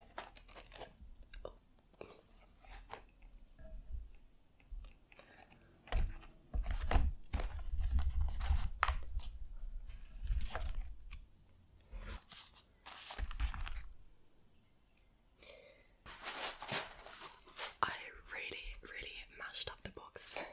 Oh. I really, really mashed up the box first.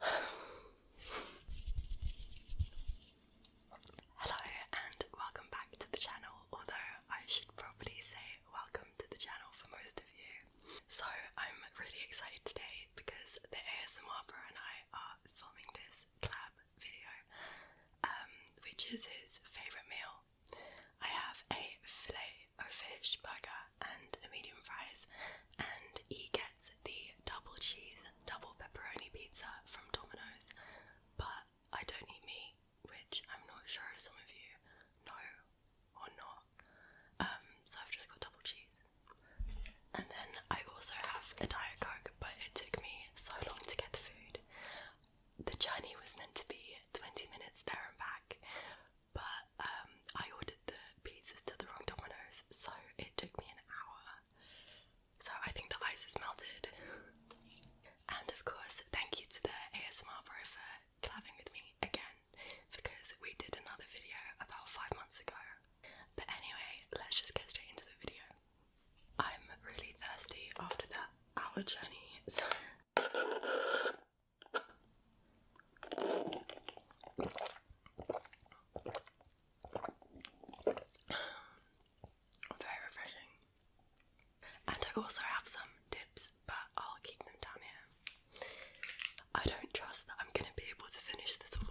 Hello and welcome back to the channel, although I should probably say welcome to the channel for most of you. So I'm really excited today because the ASMR bro and I are filming this collab video, um, which is his favourite meal. I have a filet of fish burger and a medium fries, and he gets the double cheese, double pepperoni pizza from Domino's. But I don't eat meat, which I'm not sure if some of you know or not. Um, so I've just got double cheese. And then I also have a Diet Coke, but it took me so long to get the food. The journey was meant to be 20 minutes there and back, but um, I ordered the pizzas to the wrong Domino's, so it took me an hour. So I think the ice is melted. and of course, thank you to the ASMR bro for collabing with me again, because we did another video about five months ago. But anyway, let's just get straight into the video. I'm really thirsty after that hour journey, so very refreshing. And I also have some dips, but I'll keep them down here. I don't trust that I'm going to be able to finish this all.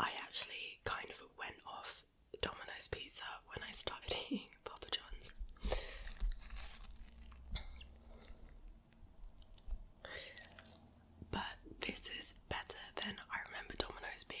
I actually kind of went off Domino's Pizza when I started eating Papa John's. But this is better than I remember Domino's being.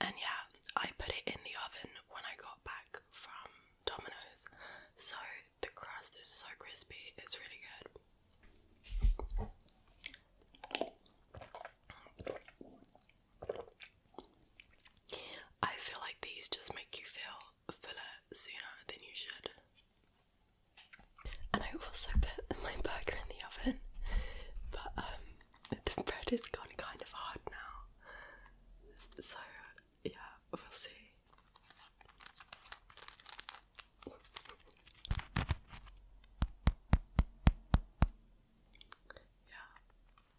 And yeah, I put it in the oven when I got back from Domino's, so the crust is so crispy, it's really good. I feel like these just make you feel fuller sooner than you should. And I also put my burger in the oven, but um, the bread has gone kind of hard now. So, yeah, we'll see. Yeah,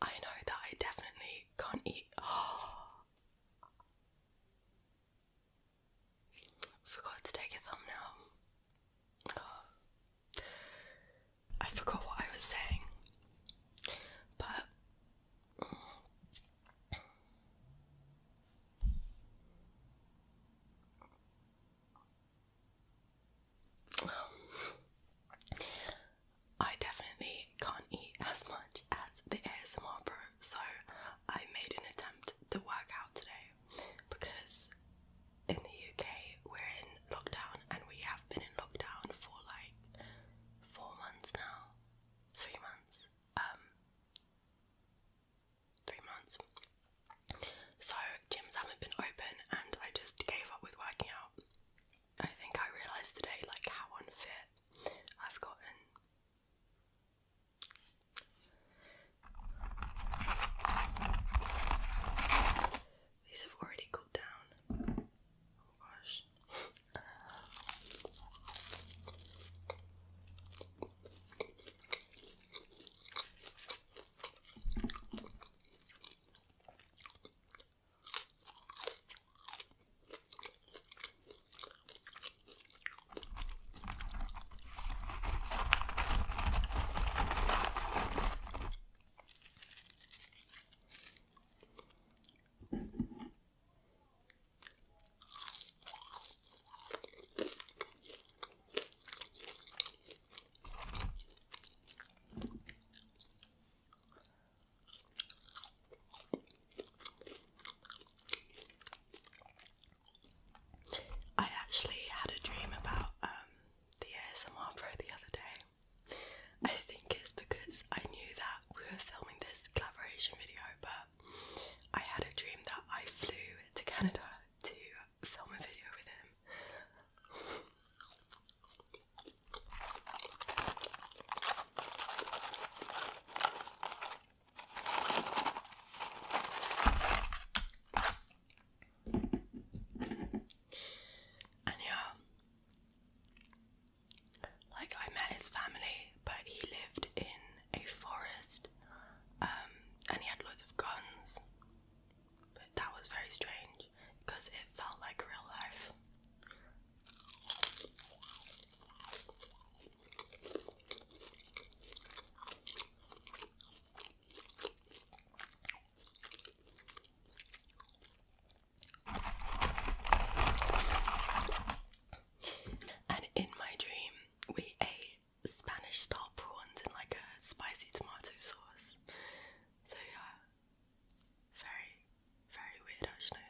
I know that I definitely can't eat. Forgot to take a thumbnail. Oh. I forgot what I was saying, but I definitely can't eat as much as the ASMR pro, so I made an attempt to work out today because in the UK we're in lockdown and we have been in lockdown for like four months now. Three months. Um three months. So gyms haven't been open and I just gave up with working out. I think I realised today like how unfit I've gotten. These have already cooled down. Oh gosh. I actually had a dream about um, the ASMR Pro the other day. I think it's because I knew that we were filming this collaboration video, but I had a dream that I flew to Canada to film a video with him. And yeah, like I met his family, but he lived in a forest um, and he had loads of guns. But that was very strange because it felt like real life. And in my dream, we ate Spanish style prawns in like a spicy tomato sauce. So, yeah, very, very weird actually.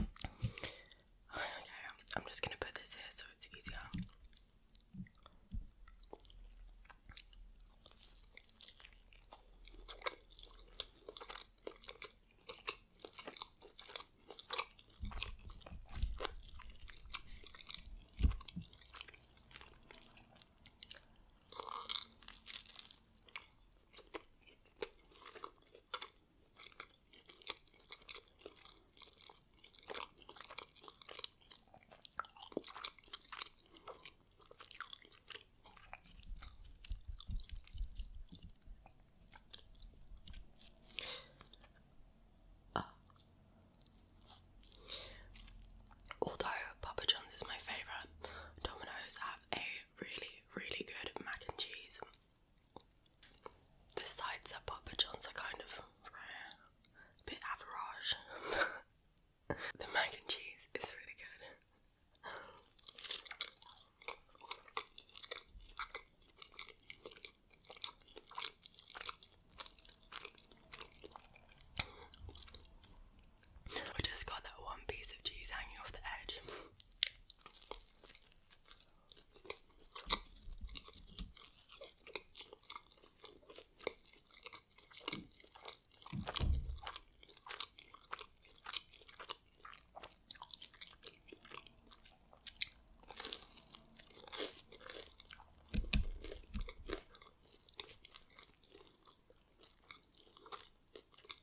Okay, I'm just gonna put this here so it's easier although Papa John's is my favourite, Domino's have a really, really good mac and cheese. The sides at Papa John's are kind of bit average. the mac and cheese is really good. I just got that one piece of cheese hanging off the edge.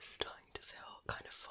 Starting to feel kind of full.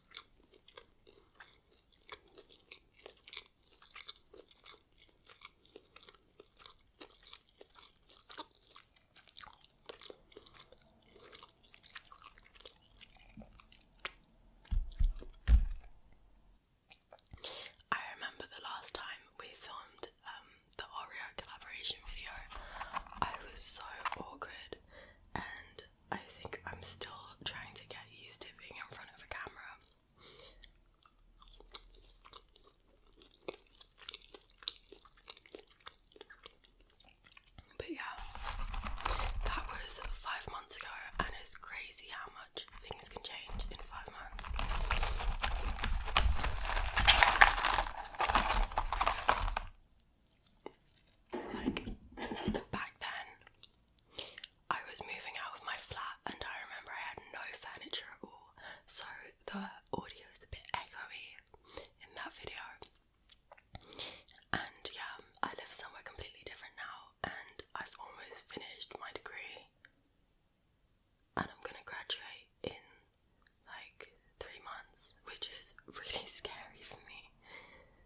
I remember the last time we filmed um, the Oreo collaboration video, I was so awkward and I think I'm still trying to get used to being in front of a camera. But yeah, that was five months ago, and it's crazy how much things can change in five months. Like back then, I was moving out of my flat, and I remember I had no furniture at all, so the audio is a bit echoey in that video. And yeah, I live somewhere completely different now, and I've almost finished my degree, and I'm gonna graduate in like three months, which is really scary for me.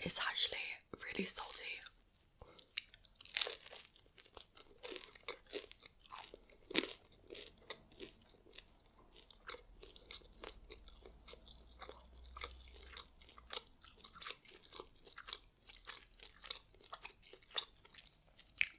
It's actually really salty.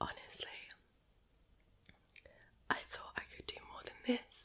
Honestly, I thought I could do more than this.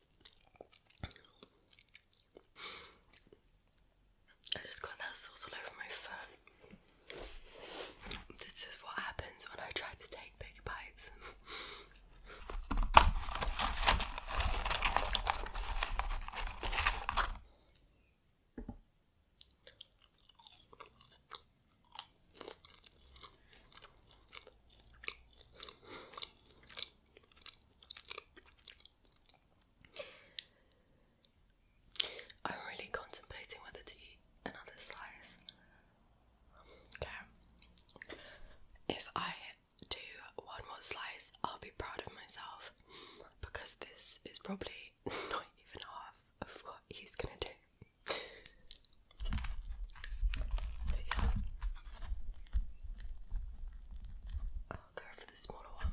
I just got that sauce all over my phone. This is what happens when I try to take big bites. I'm really contemplating whether to eat another slice. Okay. If I do one more slice, I'll be proud of myself because this is probably not even half of what he's gonna do. I'll go for the smaller one.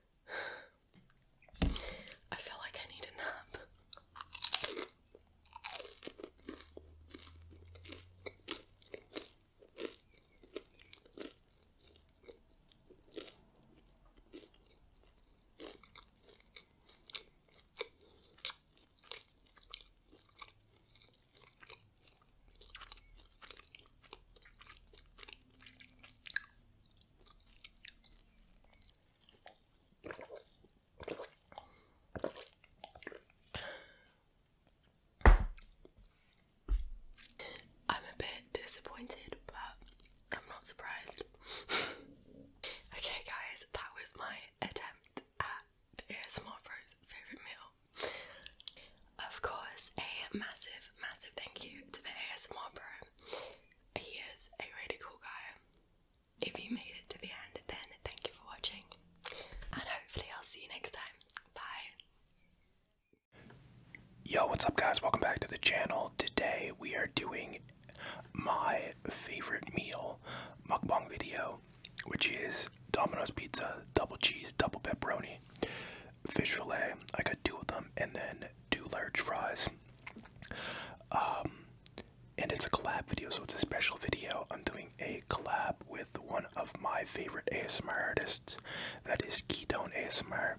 I feel like I need a nap. I'm a bit disappointed, but I'm not surprised. okay, guys, that was my attempt at the ASMR Bros' favourite meal. Of course, a massive, massive thank you to the ASMR Bro. He is a really cool guy. If you made it to the end, then thank you for watching. And hopefully, I'll see you next time. Bye. Yo, what's up, guys? Welcome back to the channel. Today, we are doing my favorite meal mukbang video, which is Domino's Pizza, double cheese, double pepperoni fish fillet. I got two of them, and then two large fries. Um, and it's a collab video, so it's a special video. I'm doing a collab with one of my favorite ASMR artists, that is Ketone ASMR.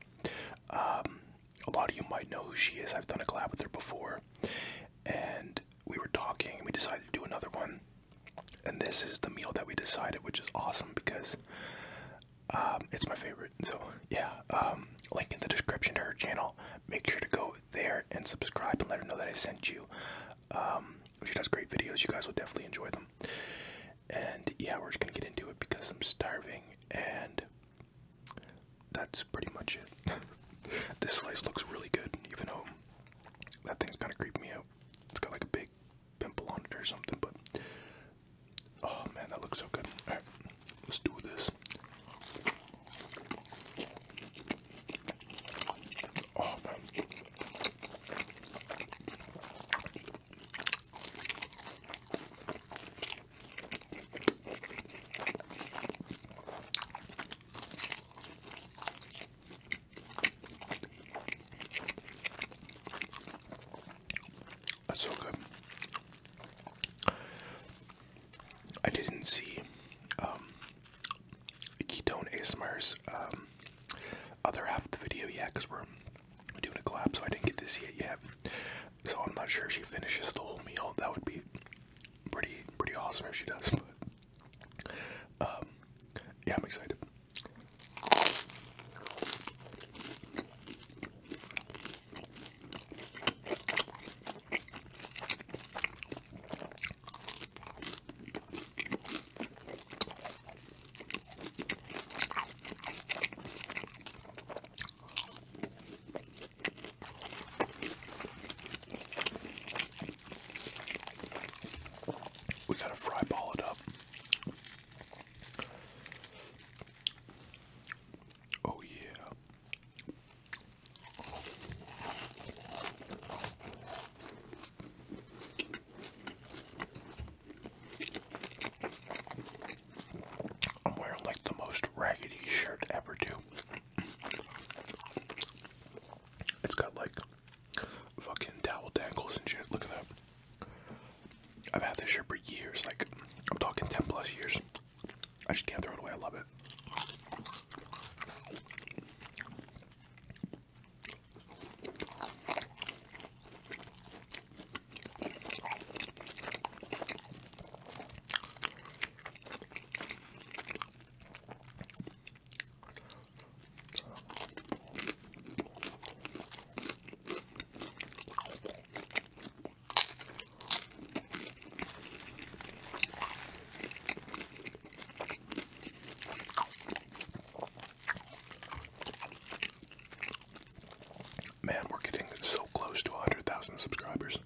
Um, a lot of you might know who she is. I've done a collab with her before, and we were talking, and we decided to do another one. And this is the meal that we decided, which is awesome because um, it's my favorite. So yeah, um, link in the description to her channel. Make sure to go there and subscribe and let her know that I sent you. Um, she does great videos. You guys will definitely enjoy them. And yeah, we're just gonna get into it because I'm starving, and that's pretty much it. this slice looks really good, even though that thing's kind of creeped me out. It's got like a big pimple on it or something, but oh man, that looks so good. right, let's do this. Oh man. That's so good. I didn't see um, Ketone Asmars um, other half of the video yet because we're doing a collab, so I didn't get to see it yet. So I'm not sure if she finishes the whole meal. That would be pretty pretty awesome if she does. But um, yeah, I'm excited. We gotta fry ball it up. Oh, yeah. I'm wearing like the most raggedy shirt ever, too. It's got like fucking towel dangles and shit. Look at that. I've had this shirt for years, like I'm talking 10 plus years. I just can't throw it away. I love it. Man, we're getting so close to 100,000 subscribers.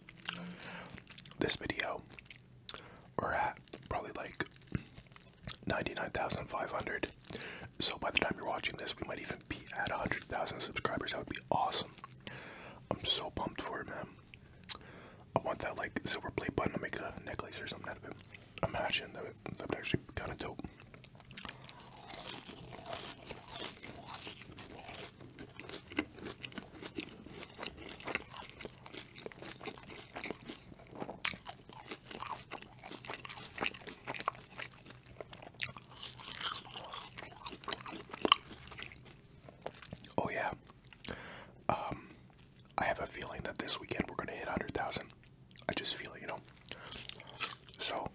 This video, we're at probably like 99,500. So by the time you're watching this, we might even be at 100,000 subscribers. That would be awesome. I'm so pumped for it, man. I want that like silver plate button to make a necklace or something out of it. Imagine that would, that would actually be kind of dope. Oh yeah. Um, I have a feeling that this weekend we're gonna hit hundred thousand. I just feel it, you know. So,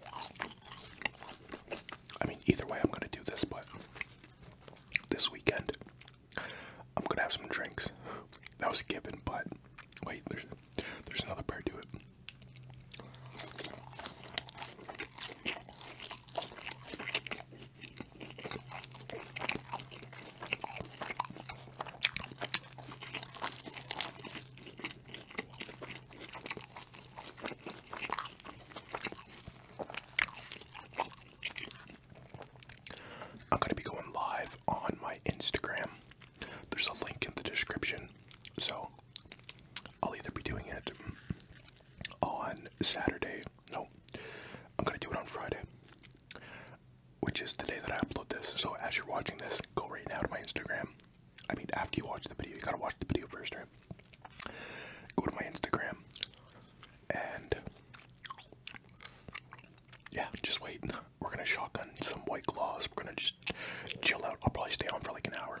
I mean, either way, I'm gonna do this, but this weekend I'm gonna have some drinks. That was a given, but wait, there's another part to it. I'm going to be going live on my Instagram there's a link in the description. So I'll either be doing it on Saturday. No, I'm going to do it on Friday, which is the day that I upload this. So as you're watching this, go right now to my Instagram. I mean, after you watch the video, you got to watch the video first, right? Go to my Instagram and yeah, just wait. We're going to shotgun some white claws. We're going to just chill out. I'll probably stay on for like an hour.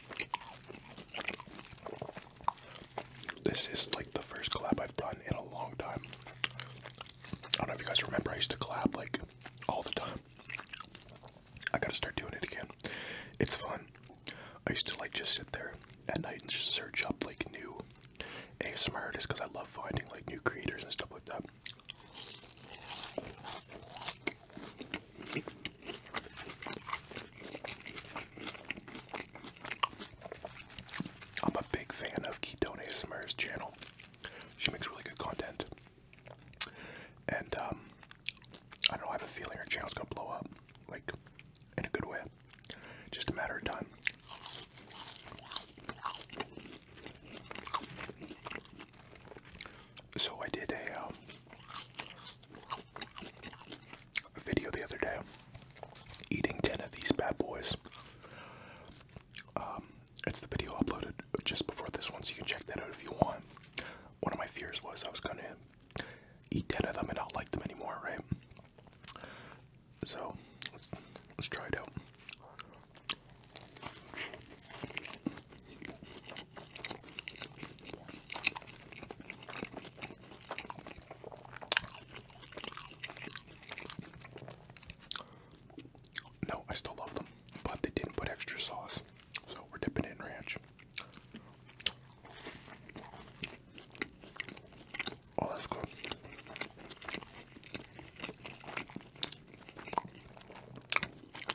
This is like the first collab I've done in a long time. I don't know if you guys remember, I used to collab like all the time. I gotta start doing it again. It's fun. I used to like just sit there at night and just search up like new ASMR artists because I love finding like new creators and stuff like that. I'm a big fan of Ketone ASMR's channel. She makes really good content. And um, I don't know, I have a feeling her channel's gonna blow up. Like in a good way. Just a matter of time. So I did um, a, video the other day eating 10 of these bad boys. Um, it's the video uploaded just before this one, so you can check that out if you want. One of my fears was I was going to eat 10 of them and not like them anymore, right? So let's try it out. No, I still love them, but they didn't put extra sauce, so we're dipping in ranch. Oh, that's good.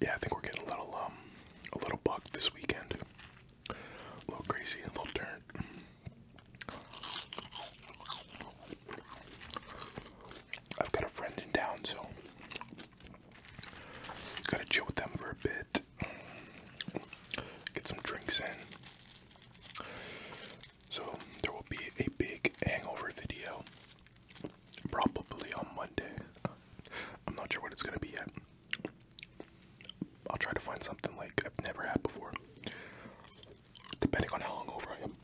Yeah, I think we're getting a little um, a little bucked this weekend. A little crazy, a little turn. I've got a friend in town, so gotta chill with them for a bit get some drinks in. So, there will be a big hangover video probably on Monday. I'm not sure what it's gonna be yet. I'll try to find something like I've never had before, depending on how hungover I am.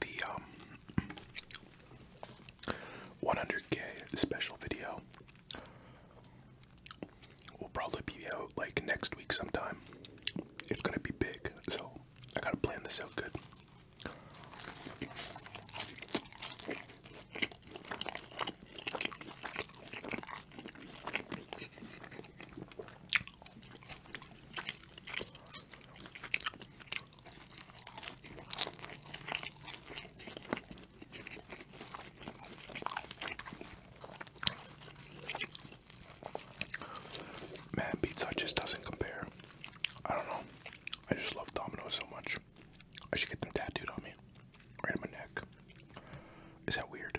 The um 100k special video will probably be out like next week sometime. It's gonna be big, so I gotta plan this out good. Man, pizza just doesn't compare. I don't know. I just love Domino's so much. I should get them tattooed on me. Right on my neck. Is that weird?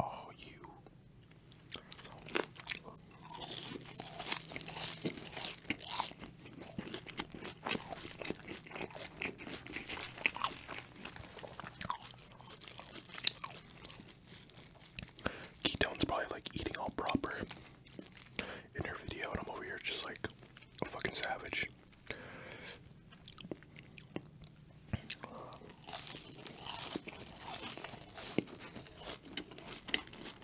Oh, you Ketone's probably like eating all proper in her video, and I'm over here just like a fucking savage.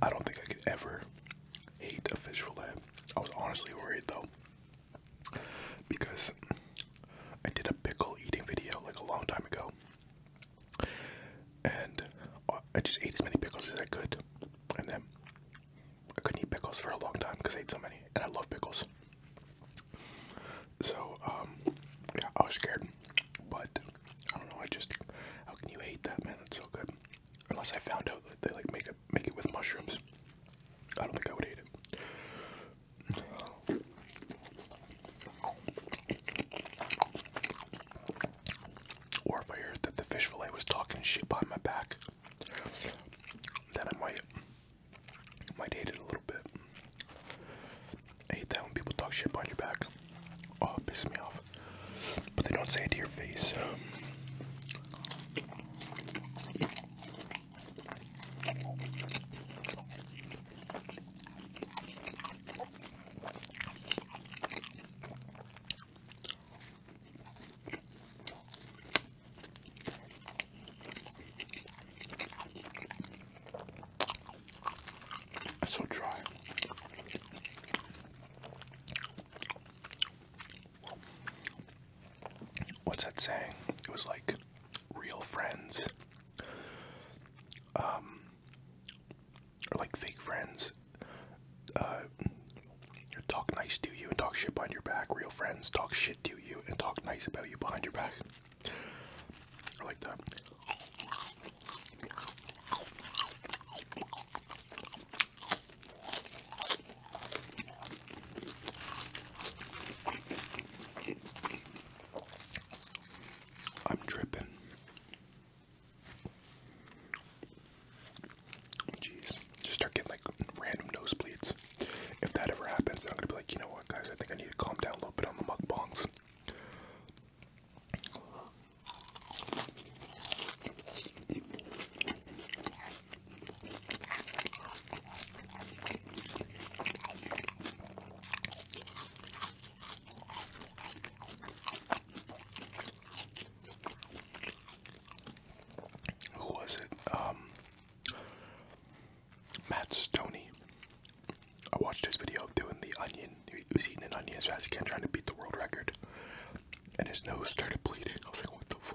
I don't think I could ever hate a fish fillet. I was honestly worried though because I did a pickle eating video like a long time ago and I just ate as many pickles as I could. And then I couldn't eat pickles for a long time because I ate so many. And I love pickles. So, um, yeah, I was scared. But I don't know, I just, how can you hate that, man? It's so good. Unless I found out that they like make it, make it with mushrooms. I don't think I would eat it. Or if I heard that the fish fillet was talking shit behind my back, then I might might hate it a little bit. hate that when people talk shit behind your back. Oh, it pisses me off. But they don't say it to your face so dry. What's that saying? It was like real friends. Um, or like fake friends uh, talk nice to you and talk shit behind your back real friends talk shit to you and talk nice about you behind your back I like that I'm tripping. Jeez, just start getting like random nosebleeds. If that ever happens, I'm gonna be like, you know what, guys, I think I need to calm down a little bit on the mukbangs. Who was it? Um, Matt Stoney. I watched his video doing the onion. He was eating an onion as fast as he can, trying to beat the world record. And his nose started bleeding. I was like, what the fuck?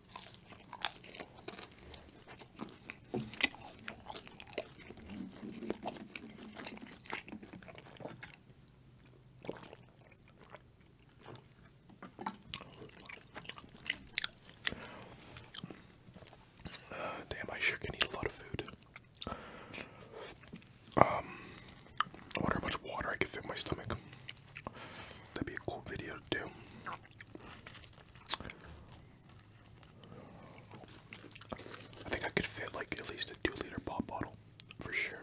Uh, damn, I sure can eat a lot of food. Um, wonder how much water I can fit in my stomach. That'd be a cool video to do. I think I could fit like at least a two liter pop bottle for sure.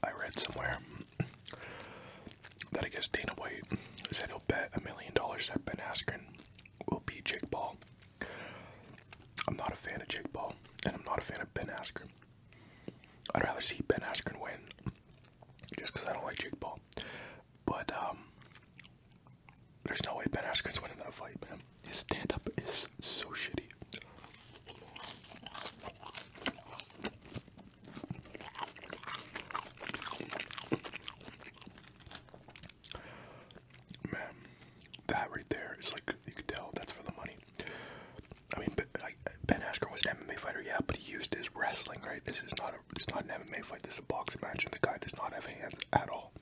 I read somewhere that I guess Dana White said he'll bet a million dollars that Ben Askren will be Jake ball. I'm not a fan of Jake Paul, and I'm not a fan of Ben Askren. I'd rather see Ben Askren win, just because I don't like Jake Paul. But um, there's no way Ben Askren's winning that fight, man. His stand-up is so shitty. Man, that right there is like you can tell that's for the money. I mean, Ben Askren was an MMA fighter, yeah, but he used his wrestling, right? This is not a, it's not an MMA fight. This is a boxing match, and the guy does not have hands at all.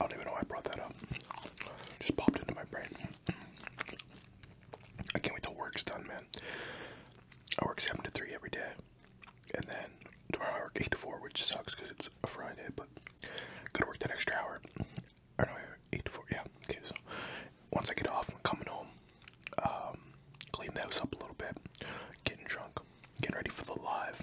I don't even know I brought that up. Just popped into my brain. I can't wait till work's done, man. I work 7 to 3 every day. And then tomorrow I work 8 to 4, which sucks because it's a Friday, but gotta work that extra hour. I no, 8 to 4, yeah. Okay, so once I get off, I'm coming home, um, clean the house up a little bit, getting drunk, getting ready for the live.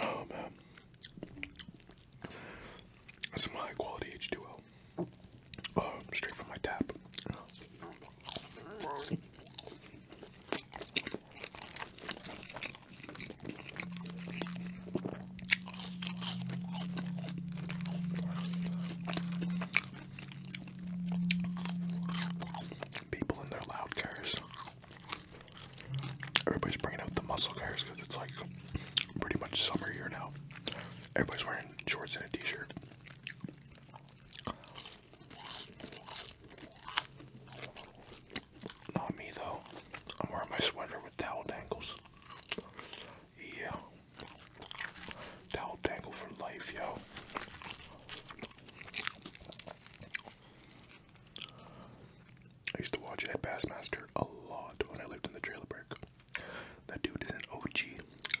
Oh man. Some high quality H2O. Oh, straight from my tap. People in their loud cars. Everybody's bringing out the muscle cars because it's like pretty much summer here now. Everybody's wearing shorts and a t-shirt. Not me though. I'm wearing my sweater with towel dangles. Yeah. Towel dangle for life, yo. I used to watch Ed Bassmaster a lot when I lived in the trailer park. That dude is an OG.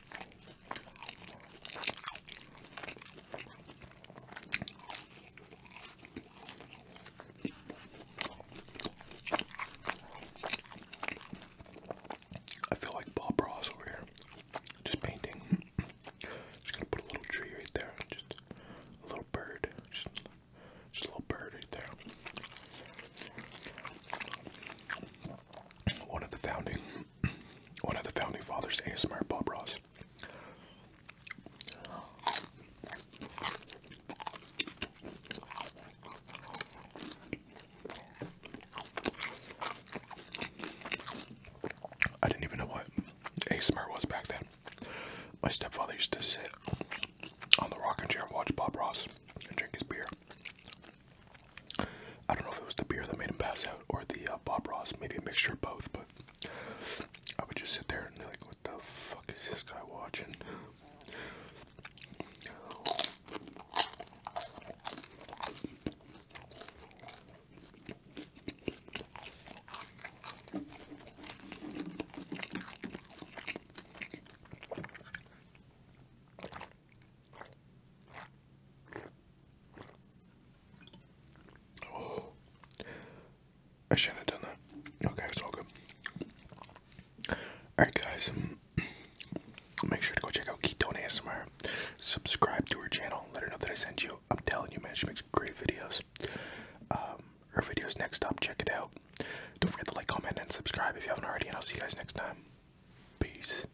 I feel like Bob Ross over here, just painting. just gonna put a little tree right there, just a little bird, just, a little bird right there. One of the founding one of the founding fathers, ASMR Bob Ross. I didn't even know what ASMR was back then. My stepfather used to sit on the rocking chair and watch Bob Ross and drink his beer. I don't know if it was the beer that made him pass out or the uh, Bob Ross, maybe a mixture of both, but I would just sit there and be like, what the fuck is this guy watching? Oh, I shouldn't have done that. Okay, it's all good. Alright, guys, make sure to go check out Ketone ASMR. Subscribe to her channel. Let her know that I sent you. I'm telling you, man, she makes great videos. Um, her video's next up. Check it out. Don't forget to like, comment, and subscribe if you haven't already. And I'll see you guys next time. Peace.